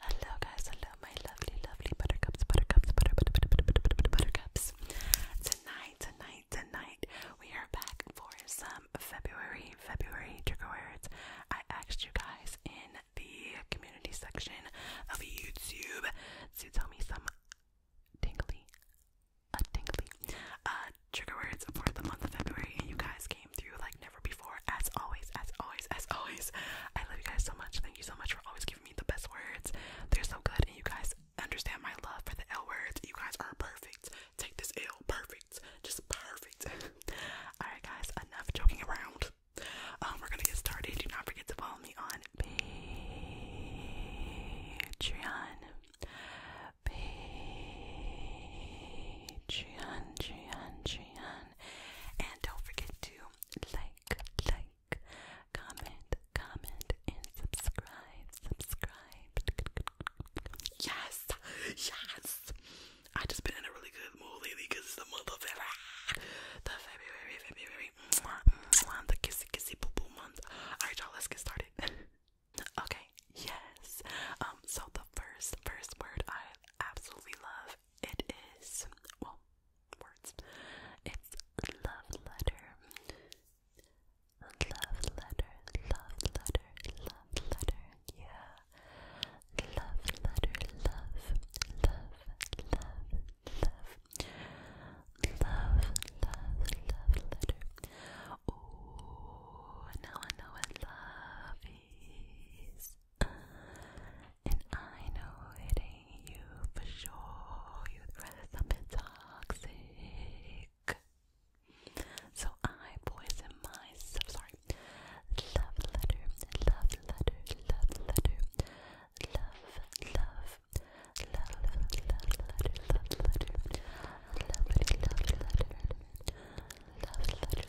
Hello guys, hello my lovely, lovely buttercups, buttercups, butter, butter, butter, butter, butter, butter buttercups. Tonight, tonight, tonight, we are back for some February, February trigger words. I asked you guys in the community section of YouTube to tell me some tingly, uh, tingly, uh, trigger words for the month of February, and you guys came through like never before. As always, as always, as always, I love you guys so much. Thank you so much for always giving me the best words. They're so good, and you guys understand my love for the L words. You guys are perfect. Take this L, perfect, just perfect. All right, guys, enough joking around. Um, we're gonna get started. Do not forget to follow me on Patreon. Patreon, Patreon, Patreon. And don't forget to like, like, comment, comment, and subscribe, subscribe. Yes, yes. I just been in a really good mood lately because it's the month of February. The February, February, mwah, the kissy kissy boo boo month. Alright, y'all, let's get started. okay, yes. Um, so the first first word I absolutely love it is, well, words. It's love letter. Love letter, love letter, love letter, yeah. Love letter, love, love, love, love. Love, love, love letter. Ooh, now I know what love is. And I know it ain't you for sure. You'd rather something toxic. So I poison myself. Sorry. Love letter, love letter, love letter, love, love, love, love, love letter, love letter, love letter, love letter, love letter, love letter, love letter,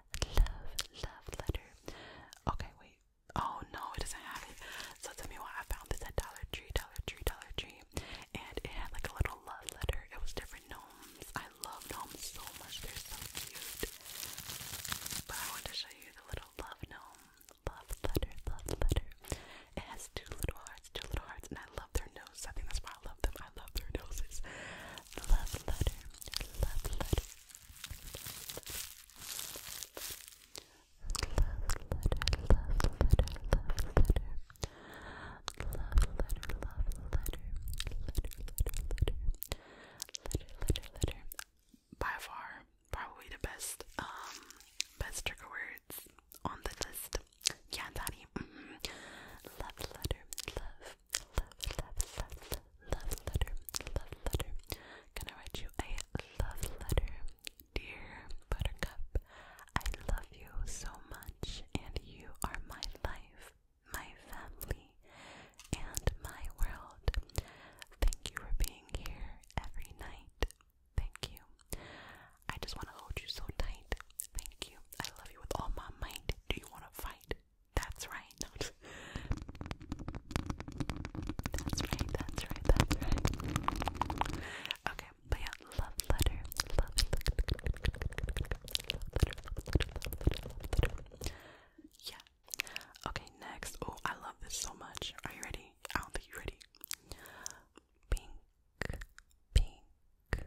love, love letter. Okay, wait. Oh no, it doesn't have it. So tell me what I found this at Dollar Tree, Dollar Tree, Dollar Tree, and it had like a little love letter. It was different gnomes. I love gnomes so much. They're so cute. But I want to show you the little love gnome, love letter, love letter. It has two little hearts, two little hearts, and I love their nose. I think that's why I love them. I love their noses. Love letter, love letter. Love letter, love letter, love letter. Love letter, love letter. Letter, letter, letter. Letter, letter, letter. By far, probably the best, um, best trigger words on the list. Yeah, daddy. Mm -hmm. Love letter, love, love, letter, love letter. Gonna write you a love letter, dear Buttercup. I love you so much, and you are my life, my family, and my world. Thank you for being here every night. Thank you. I just want to hold you so tight. Thank you. I love you with all my might. Do you want to fight? That's right. that's right, that's right, Okay, yeah, love letter. Love letter. Yeah. Okay, next. Oh, I love this so much. Are you ready? I don't think you're ready. Pink, pink,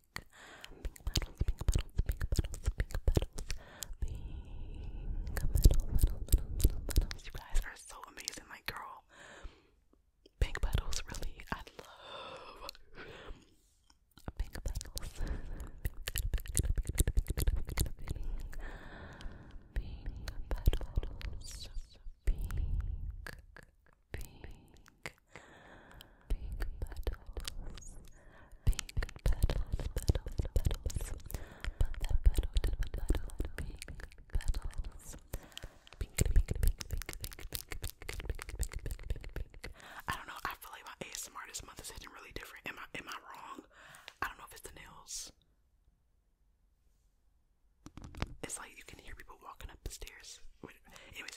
pink petals, pink petals, pink petals, pink petals, pink petal, petal, petal, petal, petals. You guys are so amazing, my girl. Pink petals, really, I love pink petals. Pink petals, pink, pink. Pink, pink petals, pink petals, petals, petals, petal, petal, petal, pink petals, pink, pink, pink, pink, pink, pink, pink, pink, pink. I don't know. I feel like my ASMR this month is hitting really different. Am I am I wrong? I don't know if it's the nails. It's like you can hear people walking up the stairs. anyways,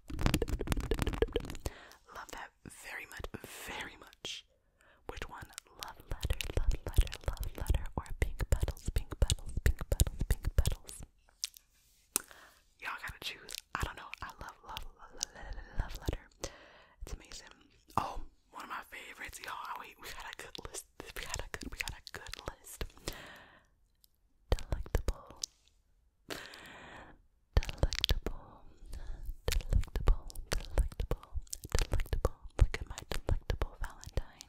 Love that very much, very much. Which one? Love letter, love letter, love letter, or pink petals, pink petals, pink petals, pink petals. Y'all gotta choose. I don't know. I love, love, love, love, love letter. It's amazing. Oh, one of my favorites, y'all. Oh, wait, we got a good list. We got a good, we got a good list delectable, delectable, delectable, delectable, delectable. Look at my delectable Valentine.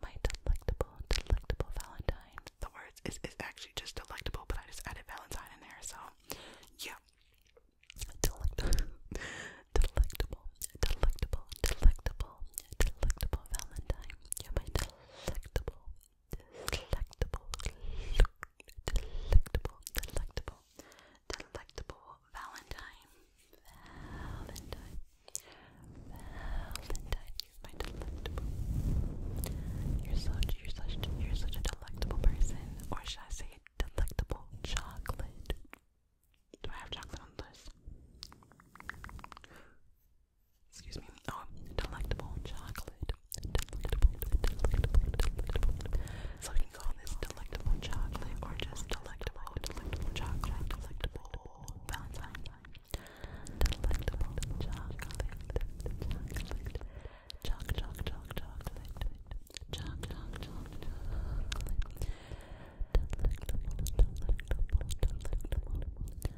My delectable, delectable Valentine. The words is is actually just delectable, but I just added Valentine in there, so yeah. Delectable, delectable, delectable, delectable, delectable Valentine. Yeah, my delectable, delectable, delectable, delectable, delectable Valentine, Valentine, Valentine. You're my delectable. You're such, you're such, you're such a delectable person. Or should I say delectable chocolate? Do I have chocolate on this? Excuse me. Oh, delectable chocolate. So we can call this delectable chocolate or just delectable, delectable chocolate, delectable Valentine. Delectable chocolate, choc, choc, choc, chocolate, choc, choc, choc, chocolate. Delectable, delectable, delectable.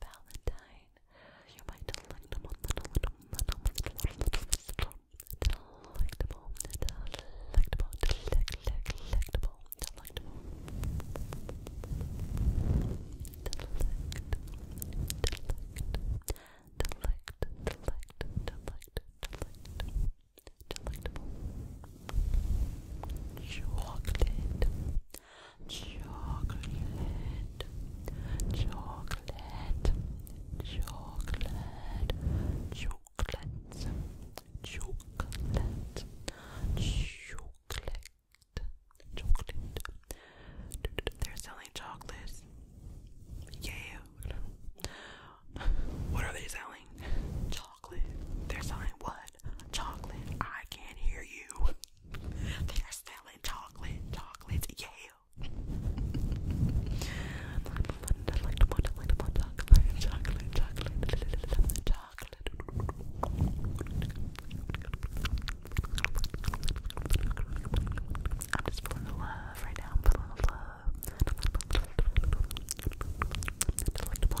Valentine. You might delectable, delectable, delectable, delectable, delectable, delectable. Delect, delect, delect, delect, delect, delectable. Chocolate, chocolate, chocolate, chocolate, chocolate, chocolate, chocolate, chocolate. They're selling chocolates. Yeah. What are they selling? Chocolate. They're selling what? Chocolate. I can't hear you. They are selling chocolate, chocolate, yeah. chocolate, chocolate, chocolate, chocolate. I'm just full of love right now. I'm full of love. Delectable. Delectable.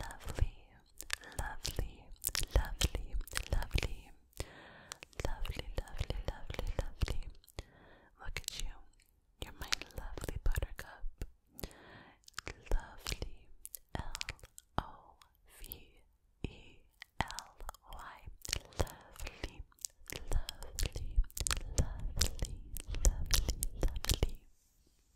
lovely, lovely, lovely, lovely, lovely, lovely, lovely, lovely. Look at you. You're my lovely buttercup. Lovely, L O V E L Y. Lovely, lovely, lovely, lovely, lovely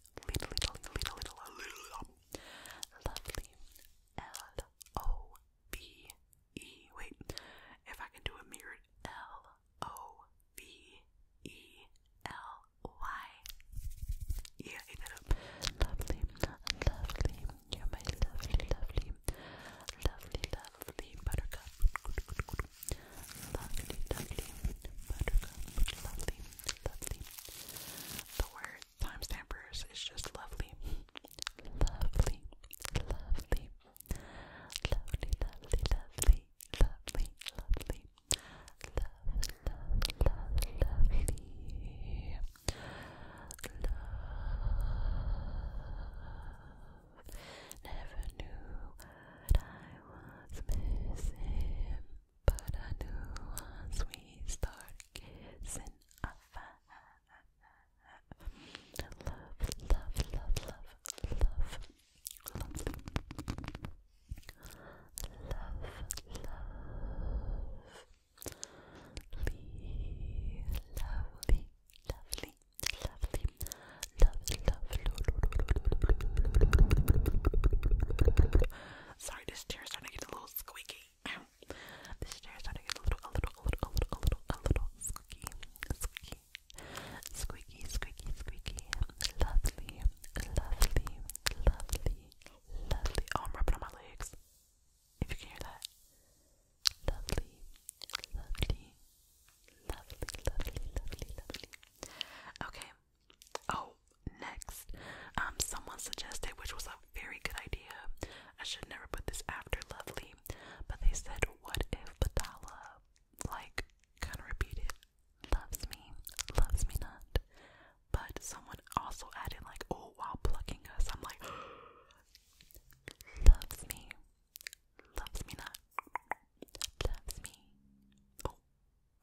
little, little, little, little, little, lovely. L O V E. Wait, if I can do a mirrored L O V E L Y. Yeah, ate that up. Lovely, lovely. you lovely, lovely, lovely, lovely buttercup. Lovely, lovely buttercup. Lovely, lovely. The word timestampers is just lovely. Lovely, lovely, lovely, lovely, lovely, lovely, lovely, love, lovely, Never knew what I was missing. But I knew once we start kissing, I love, love, love, love, love, love, love, lovely, lovely, lovely, lovely, lovely, lovely, Sorry, this chair's starting to get a little squeaky. This chair's starting to get a little, a little, a little, a little, a little, a little squeaky, squeaky, squeaky, squeaky, squeaky. Lovely, lovely, lovely, lovely. Oh, I'm rubbing on my legs. If you can hear that. Lovely, lovely, lovely, lovely, lovely, lovely. Okay, Oh, next, um, someone suggested, which was a very good idea. I should never put this after lovely, but they said, "What if Batala, like, kind of repeated, loves me, loves me not?" But someone also added, like, "Oh, while plucking us," I'm like, "Loves me, loves me not, loves me." Oh,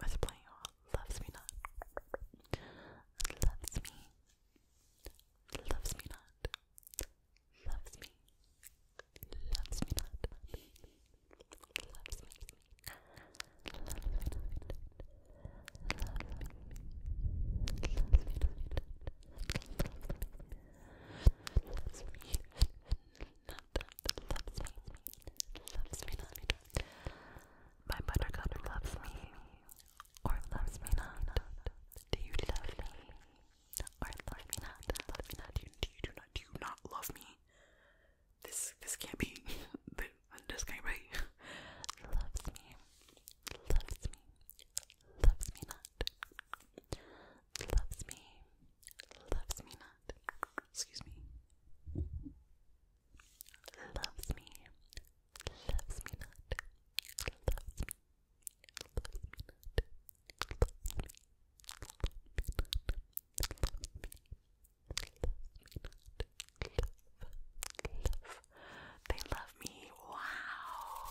I was playing oh, Loves Me Not. Loves me. Loves me not. Loves me. Loves me not. Loves me. Loves me. Loves me not. Loves me. Loves me not. Loves me. Loves me. My buttercup loves me, or loves me not. Do you love me, or love me not? Love me not. do you do not? Do you not love me? This this can't be. this can't be. loves me, loves me, loves me not. Loves me, loves me not. Excuse me loves me, loves me not, loves me, loves me not, loves me, loves me not, love, love. They love me. Wow,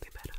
they better.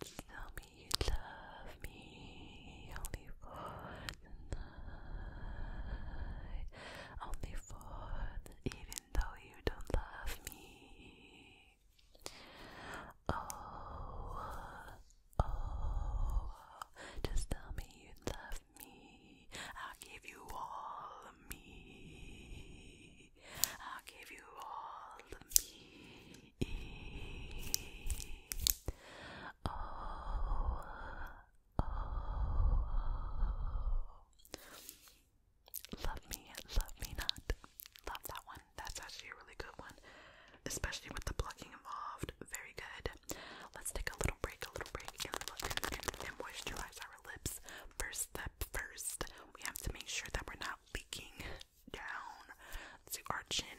Tell me you love me only for only for even though you don't love me. Oh, oh, just tell me you love me. i give you all of me. i give you all of me oh, Love me, love me not. Love that one. That's actually a really good one, especially with the plucking involved. Very good. Let's take a little break, a little break, and, and, and moisturize our lips. First step first, we have to make sure that we're not leaking down to our chin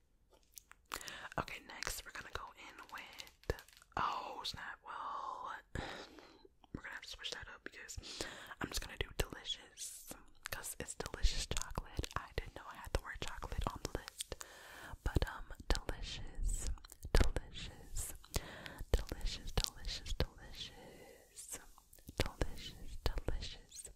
Okay, next we're gonna go in with oh snap. Well, we're gonna have to switch that up because I'm just gonna do delicious because it's delicious chocolate. I didn't know I had the word chocolate on the list, but um, delicious, delicious, delicious, delicious, delicious, delicious, delicious.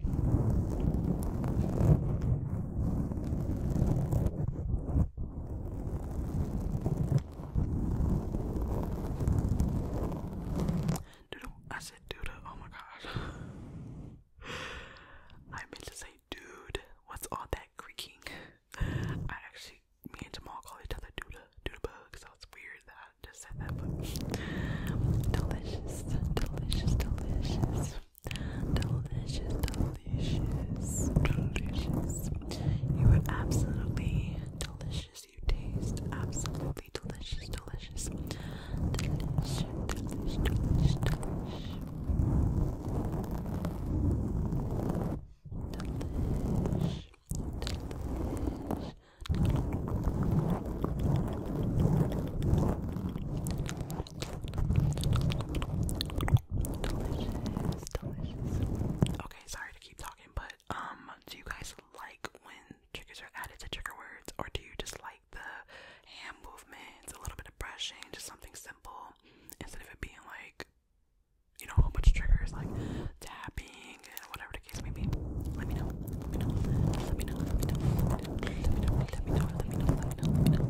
Doodle, I said doodle, oh my gosh. I meant to say dude, what's all that creaking? I actually, me and Jamal call each other dude. Dude bug, so it's weird that I just said that, delicious, delicious, delicious. Delicious, delicious, delicious. You are absolutely delicious. You taste absolutely delicious, delicious. Delicious, delicious, delicious, delicious. Delish, delish. Delicious, delicious. Okay, sorry to keep talking, but um, do you guys like when triggers are added to trigger words, or do you just like the hand movements, a little bit of brushing, just something simple, instead of it being like, you know, a whole bunch of triggers like tapping, whatever the case may be? Let me know. Let me know. Let me know. Let me know. Let me know. Let me know. Let me know. Let me know. Let me know. Let me know. Let me know.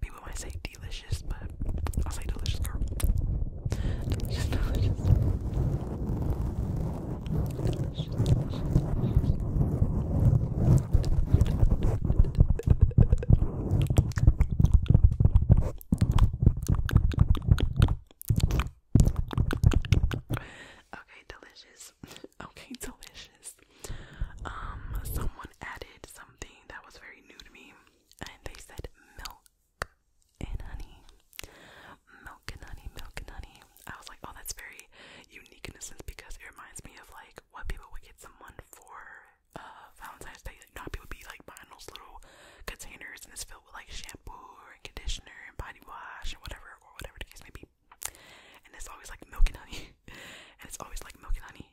people might say delicious, but I'll say delicious, girl. Okay, delicious. Okay, delicious. Um, someone added something that was very new to me and they said milk and honey. Milk and honey, milk and honey. I was like, oh, that's very unique in a sense because it reminds me of like what people would get someone for uh, Valentine's Day. Like, not people would be like buying those little containers and it's filled with like shampoo and conditioner and body wash and whatever or whatever the case may be. And it's always like milk and honey. and it's always like milk and honey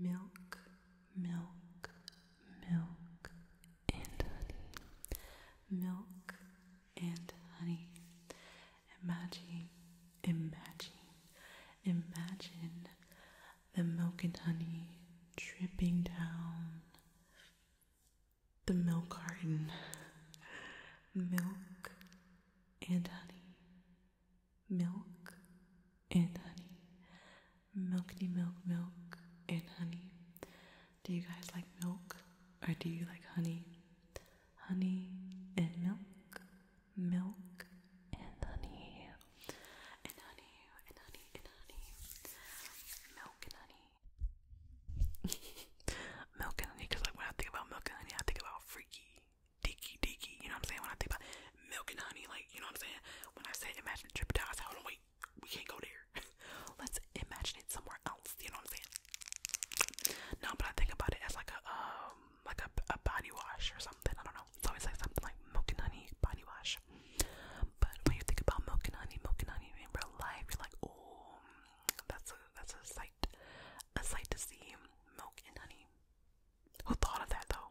milk, milk, milk, and honey. Milk and honey. Imagine, imagine, imagine the milk and honey dripping down the milk garden. milk and honey. Milk and honey milky milk milk and honey. Do you guys like milk or do you like honey? Honey and milk, milk and honey, and honey and honey and honey, milk and honey, milk and honey. Cause like when I think about milk and honey, I think about freaky, deaky, deaky. You know what I'm saying? When I think about milk and honey, like you know what I'm saying? When I say imagine trip down, I say wait we can't go there. Let's imagine it somewhere else. You know what I'm saying? No, but I think about it as like a um like a, a body wash or something. I don't know. It's always like something like milk and honey body wash. But when you think about milk and honey, milk and honey in real life, you're like, oh, that's a that's a sight, a sight to see. Milk and honey. Who thought of that though?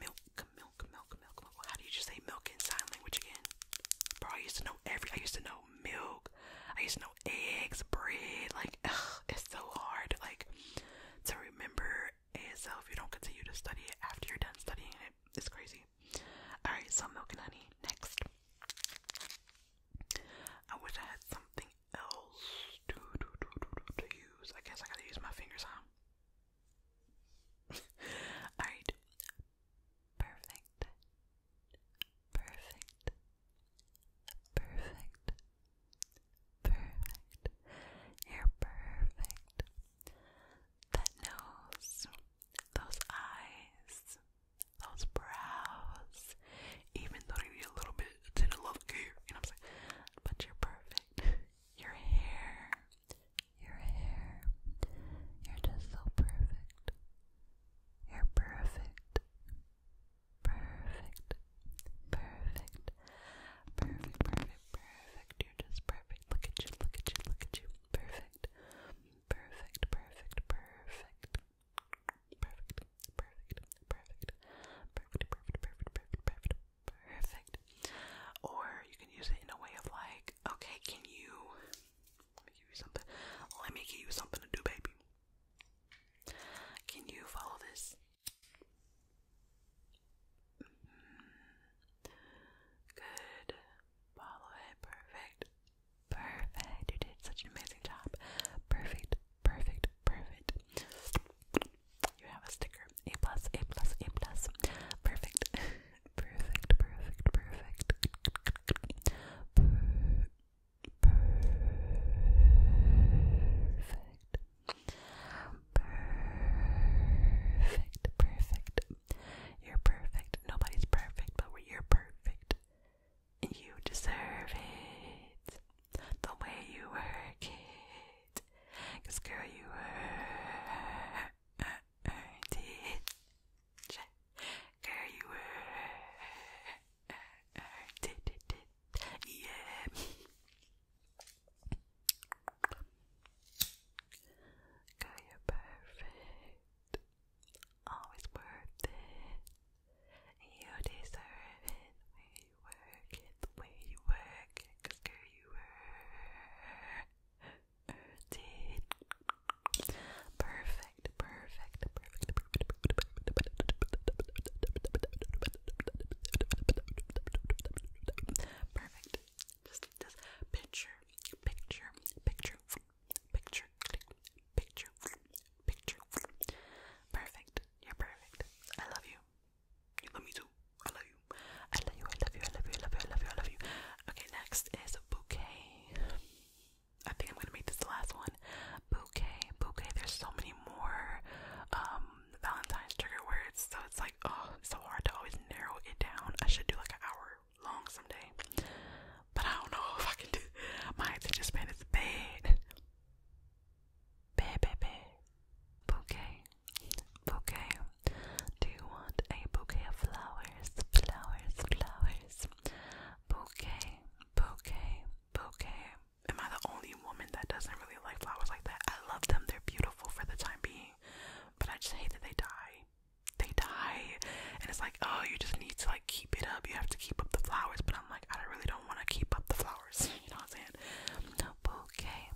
milk, milk, milk, milk, milk. How do you just say milk in sign language again? Bro, I used to know every. I used to know milk. I used to know eggs, bread. Like, ugh, it's so hard. Like, to remember ASL if you don't continue to study it after you're done studying it. It's crazy. All right, so milk and honey. Next. I wish I had something else to, to, to use. I guess I gotta use my fingers, huh? Alright. Perfect. Perfect. Perfect. Perfect. You're perfect. That nose, those eyes, those brows, even though they need a little bit of love care, you know what I'm saying? But you're perfect. Your hair, your hair. You're just so perfect. You're perfect. Perfect. Perfect. Perfect, perfect, perfect. You're just perfect. Look at you, look at you, look at you. Perfect. Perfect, perfect, perfect. Perfect, perfect, perfect. Perfect, perfect, perfect, perfect, perfect. Perfect. Or you can use it in a way of like, okay, can you let me give you something let me give you something to do, baby. Can you follow this? Mm-hmm. Good. Follow it. Perfect. Perfect. You did such an amazing job. Perfect. Perfect. Perfect. You have a sticker here. A plus, A plus, A plus. Perfect. perfect, perfect, perfect. Per perfect. Perfect, perfect. You're perfect. Nobody's perfect, but you're perfect. You deserve it. The way you work it. Cause girl, you work you're perfect. Always worth it. You deserve it. Where you work it, the way you work it, cause girl, you work. Perfect, perfect, perfect, perfect. Perfect. Just just picture, picture, picture, picture, picture, picture. Perfect. You're perfect. I love you. You love me too. I love you. I love you. I love you. I love you. I love you. I love you. I love you. Okay, next is bouquet. I think I'm gonna make this the last one. Bouquet, bouquet. There's so many more um Valentine's trigger words, so it's like oh, it's so hard to always narrow it down. I should do like an hour long someday, but I don't know if I can do. My attention span is bad. Bad, bad, bad. Bouquet. Bouquet. Do you want a bouquet of flowers? Flowers, flowers. Bouquet, bouquet, bouquet. Am I the only woman that doesn't really like flowers like that? I love them, they're beautiful for the time being. But I just hate that they die. They die. And it's like, oh, you just need to like keep it up. You have to keep up the flowers. But I'm like, I really don't want to keep up the flowers. You know what I'm saying? Bouquet,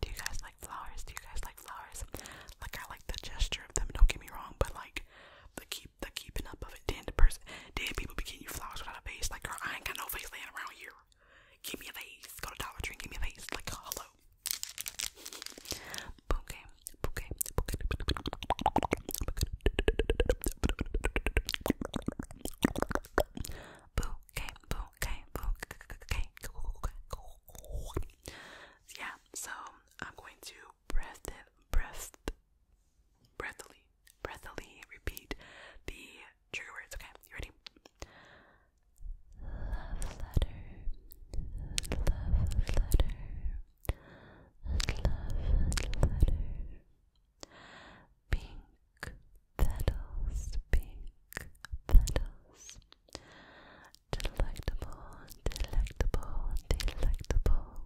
do you guys like flowers? Do you guys like flowers? Like I like the gesture of them, don't get me wrong, but like the keep the keeping up of it. Then the person then people be getting you flowers without a vase. Like girl, I ain't got no vase laying around here. Give me a vase. Go to Dollar Tree give me a vase. Like hello. Bouquet. Boo. Yeah, so I'm going to breath breath breathily breathily repeat the trigger words, okay? You ready? Love letter love pink petals, pink petals. Delectable, delectable, delectable.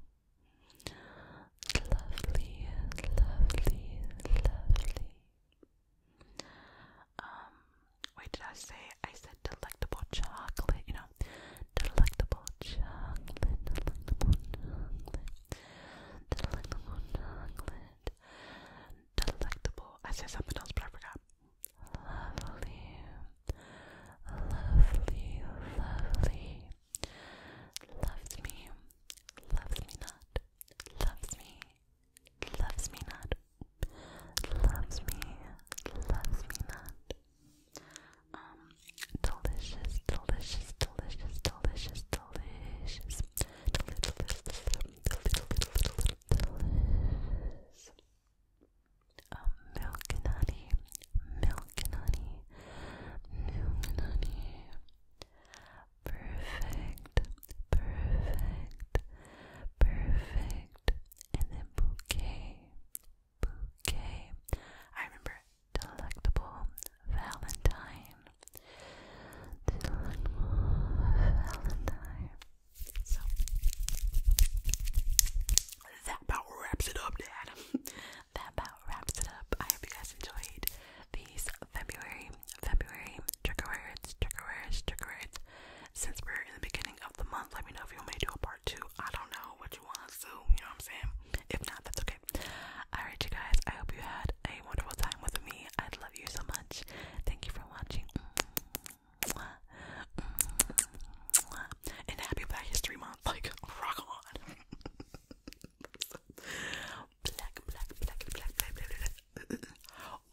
Lovely, lovely, lovely. Um, wait, did I say I said delectable chocolate? You know, delectable chocolate, delectable chocolate, delectable chocolate delectable. I said something else, but I forgot. Lovely, lovely, lovely. Loves me, loves me not. Loves me, loves me not. Loves me, loves me not. Um, delicious, delicious, delicious, delicious, delicious, delicious, delicious. Um, milk and honey, milk and honey, milk and honey. Perfect, perfect, perfect. And then bouquet, bouquet. I remember delectable Valentine that about wraps it up, Dad. that about wraps it up. I hope you guys enjoyed these February, February trick-or-treats, trick or trigger trick or words. Since we're in the beginning of the month, let me know if you want me to do a part two. I don't know what you want to do, you know what I'm saying? If not, that's okay. Alright, you guys, I hope you had a wonderful time with me. I'd love love you so much. Thank you for watching. And happy Black History Month. Like, rock on.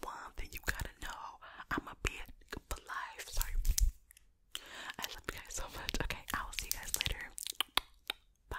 One thing you gotta know I'm a for life. Sorry. I love you guys so much. Okay, I will see you guys later. Bye.